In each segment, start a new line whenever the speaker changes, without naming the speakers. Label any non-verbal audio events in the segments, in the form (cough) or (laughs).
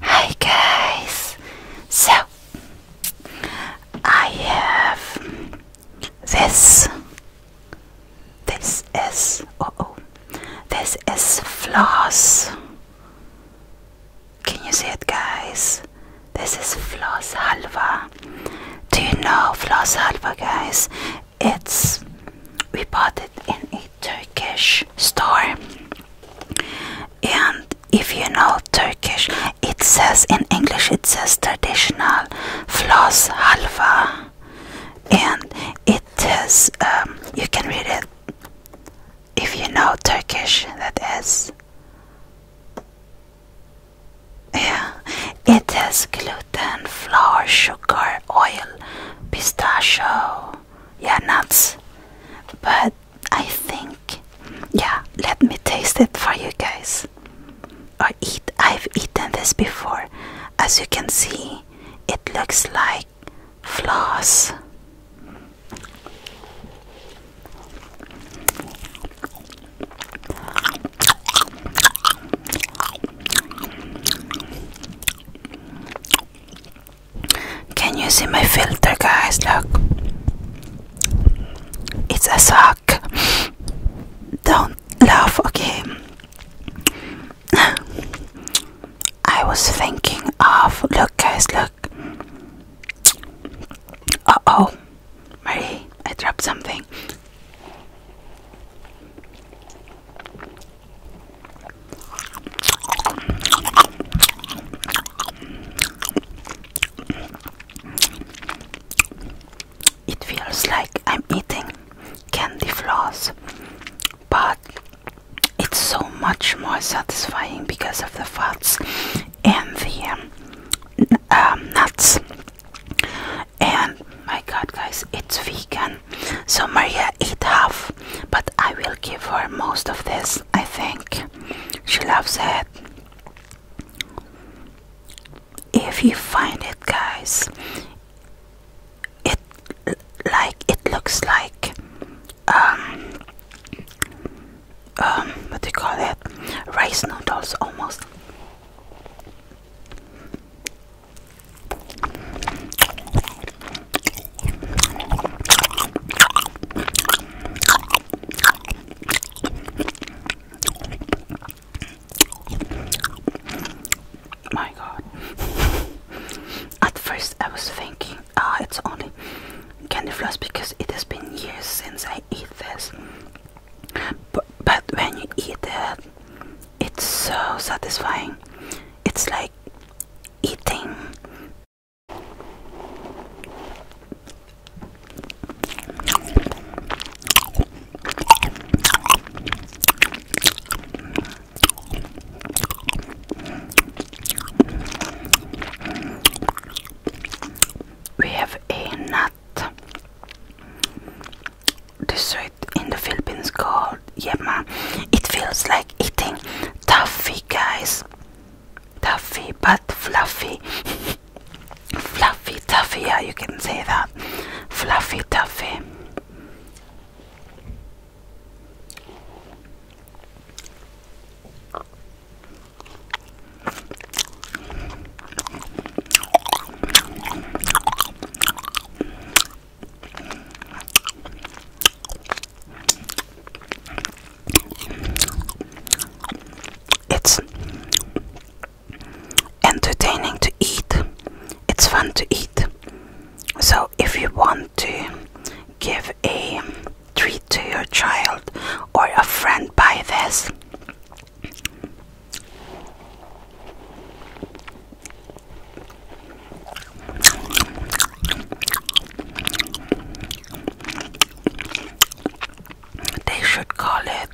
Hi guys! So, I have this. This is, oh oh, this is floss. Can you see it guys? This is floss halva. Do you know floss halva guys? It's, we bought it in a Turkish store and if you know Turkish, it says in English it says traditional floss halva, and it is um, you can read it if you know Turkish. That is, yeah, it has gluten, flour, sugar, oil, pistachio, yeah, nuts. But I think, yeah, let me taste it for you guys. I eat, I've eaten this before. As you can see, it looks like floss. Can you see my filter, guys? Look, it's a sock. Don't laugh, okay? I was thinking of look, guys, look. Uh oh, Marie, I dropped something. It feels like I'm eating candy floss, but it's so much more satisfying because of the fats and the um, um, nuts. And my god, guys, it's vegan. So Maria eat half, but I will give her most of this, I think. She loves it. If you find it, guys, it like it looks like um um what do call it? Rice noodles almost. My god. (laughs) At first, I was thinking, ah, it's only candy floss because it has been years since I eat this. But, but when you eat it, it's so satisfying. It's like eating we have a nut dessert in the Philippines called Yema. It feels like eating toffee, guys. Toffee, but fluffy. (laughs) fluffy toffee, yeah, you can say that. Fluffy toffee. It's entertaining to eat, it's fun to eat. So, if you want to give a treat to your child or a friend, buy this. They should call it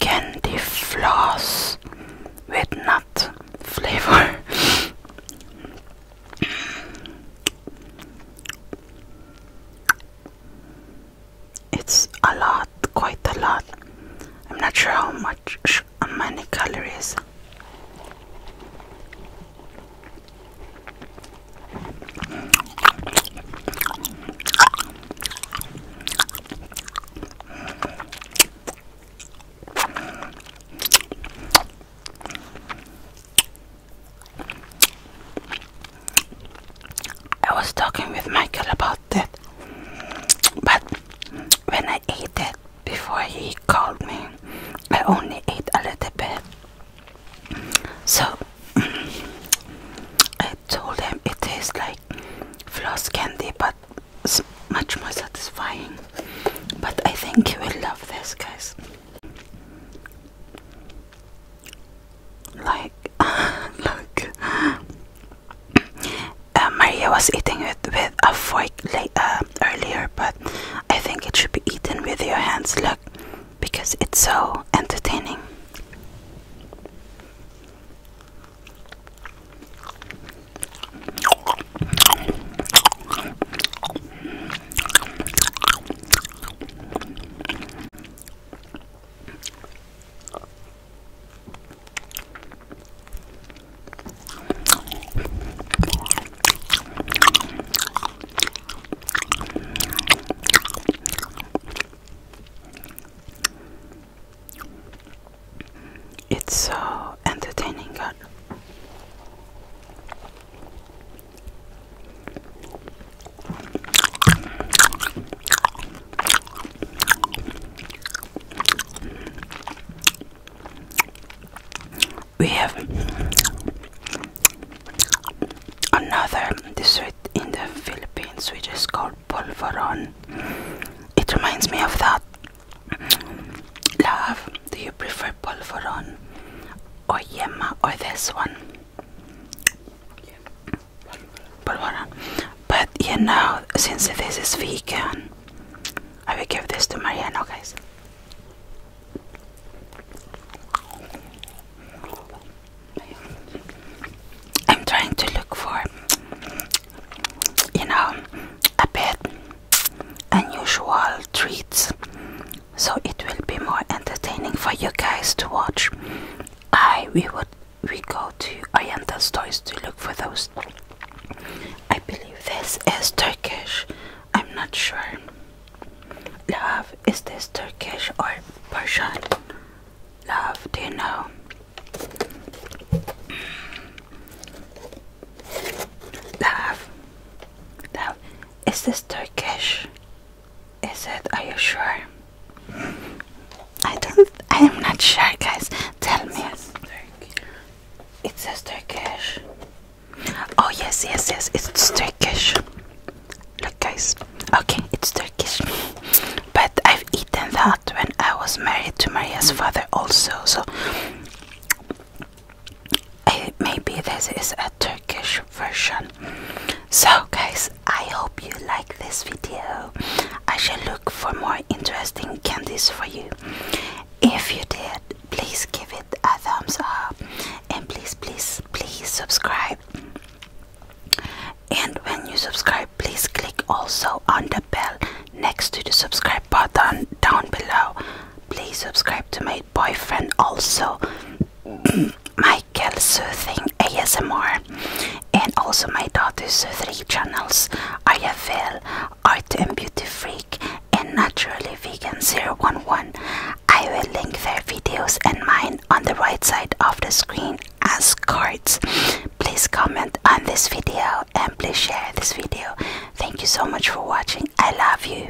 candy floss with nut flavor it's a lot, quite a lot. I'm not sure how much, how many calories. I was talking with Michael about that, but when I ate it before he called me, I only ate a little bit. So (clears throat) I told him it tastes like floss candy, but it's much more satisfying. But I think you will love this, guys like (laughs) look uh, Maria was eating it with a fork uh, earlier but I think it should be eaten with your hands look because it's so entertaining it's so entertaining, God. We have another dessert in the Philippines which is called polvoron. It reminds me of that. Love, do you prefer polvoron or yema or this one? but on. But you know, since this is vegan, I will give this to Mariano, guys. I'm trying to look for, you know, a bit unusual treats so it will be more entertaining for you guys to watch. I we would we go to Oriental stores to look for those. I believe this is Turkish. I'm not sure. Love, is this Turkish or Persian? Love, do you know? Love, love, is this Turkish? Is it? Are you sure? I don't. I am not sure, guys. Tell me. It's says Turkish. Oh yes, yes, yes. It's Turkish. Look, guys. Okay, it's Turkish. But I've eaten that when I was married to Maria's father, also. So maybe this is a Turkish version. So guys, I hope you like this video. I shall look for more interesting candies for you. If you did, please give it a thumbs up and please, please, please subscribe. And when you subscribe, please click also on the bell next to the subscribe button down below. Please subscribe to my boyfriend also. (clears throat) Michael Soothing ASMR and also my daughter's three channels IFL, Art and Beauty Freak and Naturally Vegan 011. I will link their videos and mine on the right side of the screen as cards. Please comment on this video and please share this video. Thank you so much for watching. I love you.